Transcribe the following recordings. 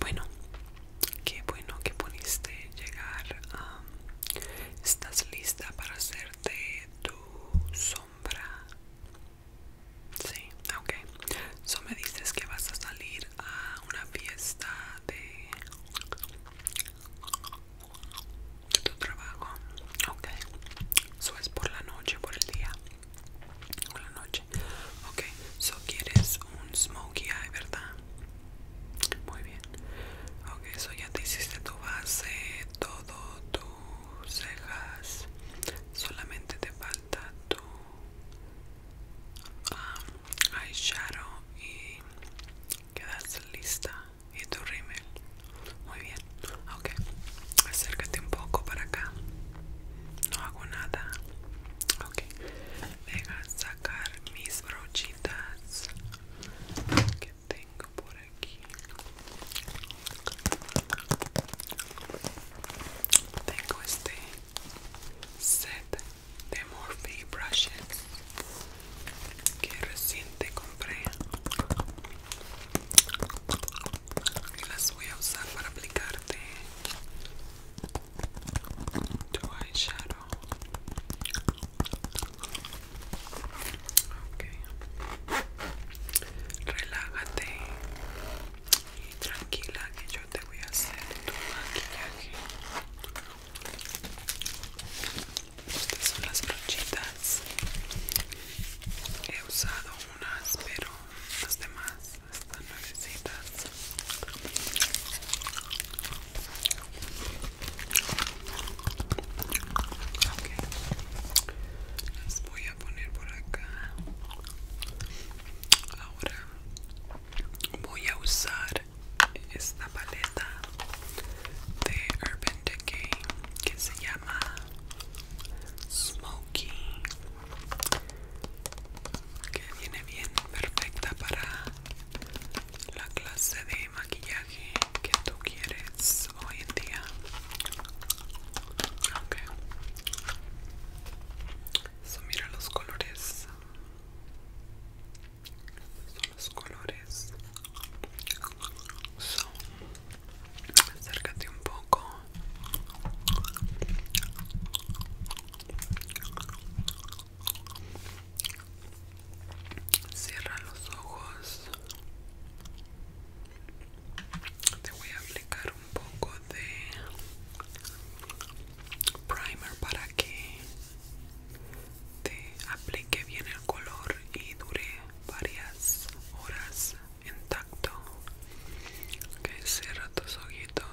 Bueno, qué bueno que pudiste llegar. ¿Estás lista para hacerte tu sombra? Sí, ok. So me dices que vas a salir a una fiesta de tu trabajo. Ok. So es por la noche, por el día. Hola noche. Ok, so quieres un smokey eye, ¿verdad? Muy bien. Ok, so ya te hiciste tu base, todo, tus cejas. Solamente te falta tu um, eyeshadow y quedas lista. Y tu rímel. Muy bien, ok. Acércate un poco para acá. No hago nada. Ok. Deja sacar mis brochitas que tengo por aquí. Tengo este set de Morphe brushes que recién te compré las voy a usar para aplicarte tu eyeshadow. Okay. Relájate y tranquila que yo te voy a hacer tu maquillaje estas son las brochitas he usado unas pero las demás están nuevecitas Ok las voy a poner por acá ahora voy a usar esta paleta de Urban Decay que se llama Smokey que viene bien perfecta para la clase de maquillaje que tú quieres hoy en día okay. mira los colores los colores acércate un poco cierra los ojos te voy a aplicar un poco de primer para que te aplique bien el color y dure varias horas intacto. tacto tus ojitos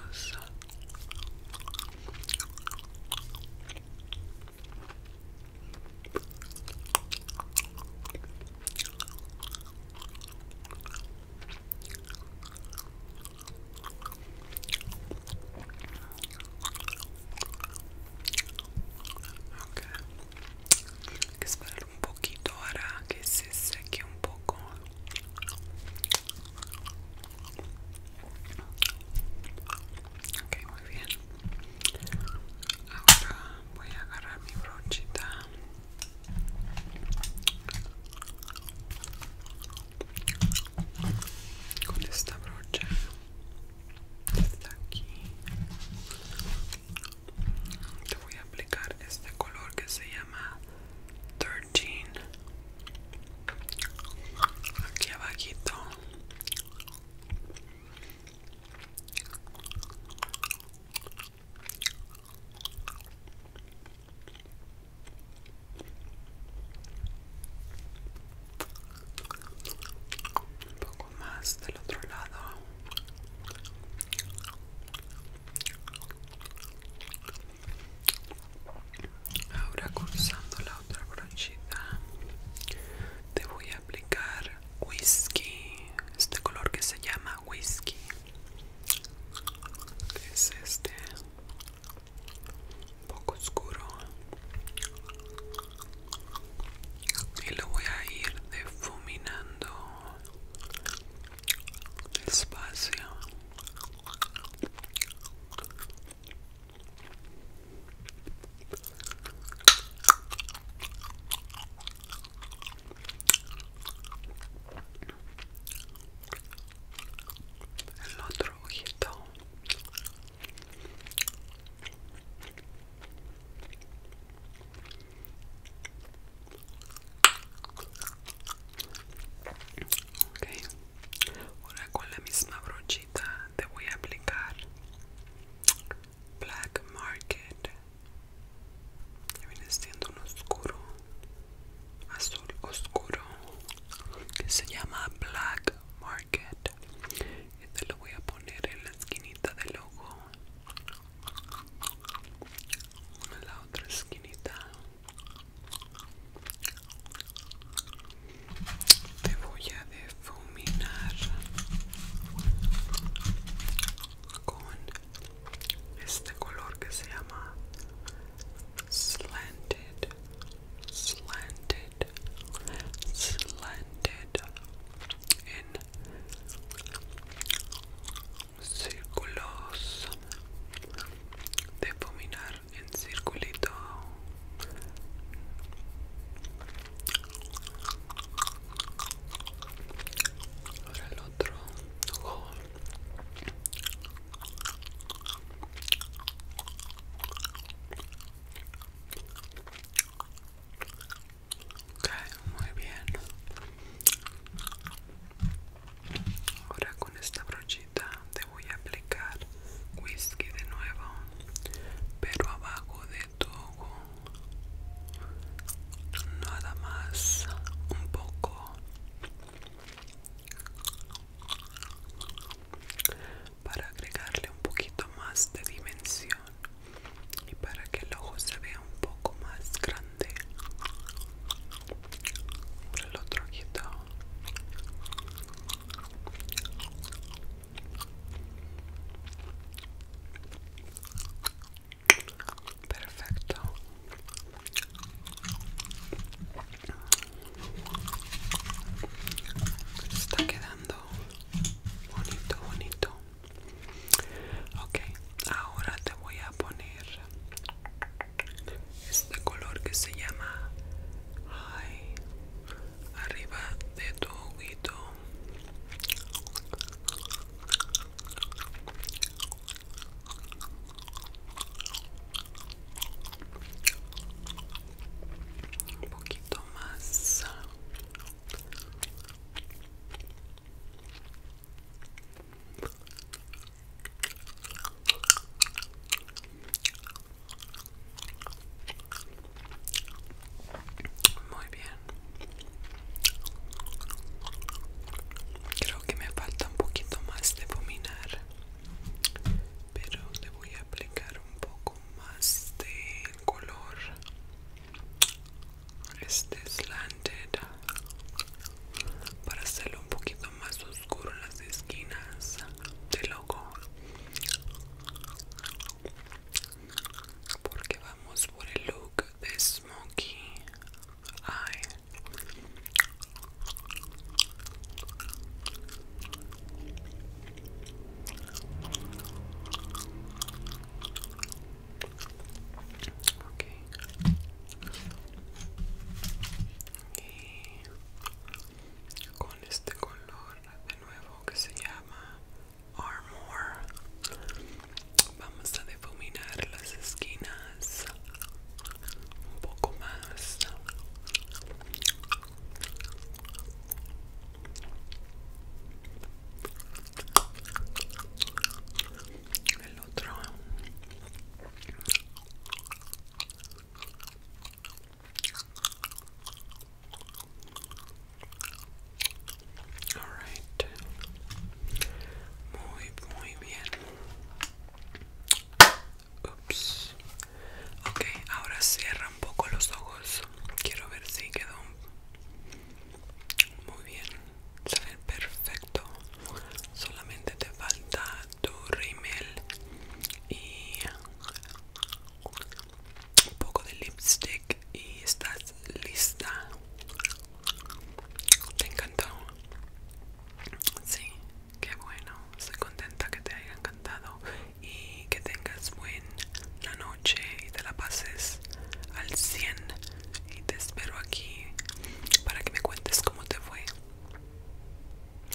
Okay. Hay que esperar un poquito ahora que se seque un poco. Ok, muy bien. Ahora voy a agarrar mi brochita con esta brocha está aquí te voy a aplicar este color que se llama 13 aquí abajito un poco más del otro lado ahora cruzando la otra brochita te voy a aplicar whisky este color que se llama whisky es este un poco oscuro y lo voy a ir difuminando despacio el otro ojito ok ahora con la misma brochita te voy a aplicar black market que viene siendo un oscuro azul oscuro que se llama Black Market. Y te este lo voy a poner en la esquinita del ojo. En la otra esquinita. Te voy a difuminar con este color que se llama slanted, slanted, slanted en círculos de fuminar en circulito ahora el otro ojo Ok, muy bien. Ahora con esta brochita te voy a aplicar whisky de nuevo, pero abajo de todo Nada más, un poco para agregarle un poquito más de dimensión y para que el ojo se vea un poco más grande por el otro ojito Perfecto. Está quedando bonito, bonito. Ok, ahora te voy a poner este color que se llama High arriba de tu ojito un poquito más muy bien Creo que me falta un poquito más de fuminar, pero le voy a aplicar un poco más de color. Este slanted para hacerlo un poquito más oscuro en las esquinas del logo porque va vamos por el look de Smokey Eye. con este color de nuevo que se llama Armor. Vamos a difuminar las esquinas un poco más. El otro. Muy, muy bien. Ups. Ok, ahora cierra un poco los ojos. Quiero ver si quedó muy bien. Se ve perfecto. Solamente te falta tu rímel y un poco de lipstick y estás lista. ¿Te encantó? Sí, qué bueno. Estoy contenta que te haya encantado y que tengas buena noche y te la pases al 100. Y te espero aquí para que me cuentes cómo te fue.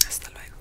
Hasta luego.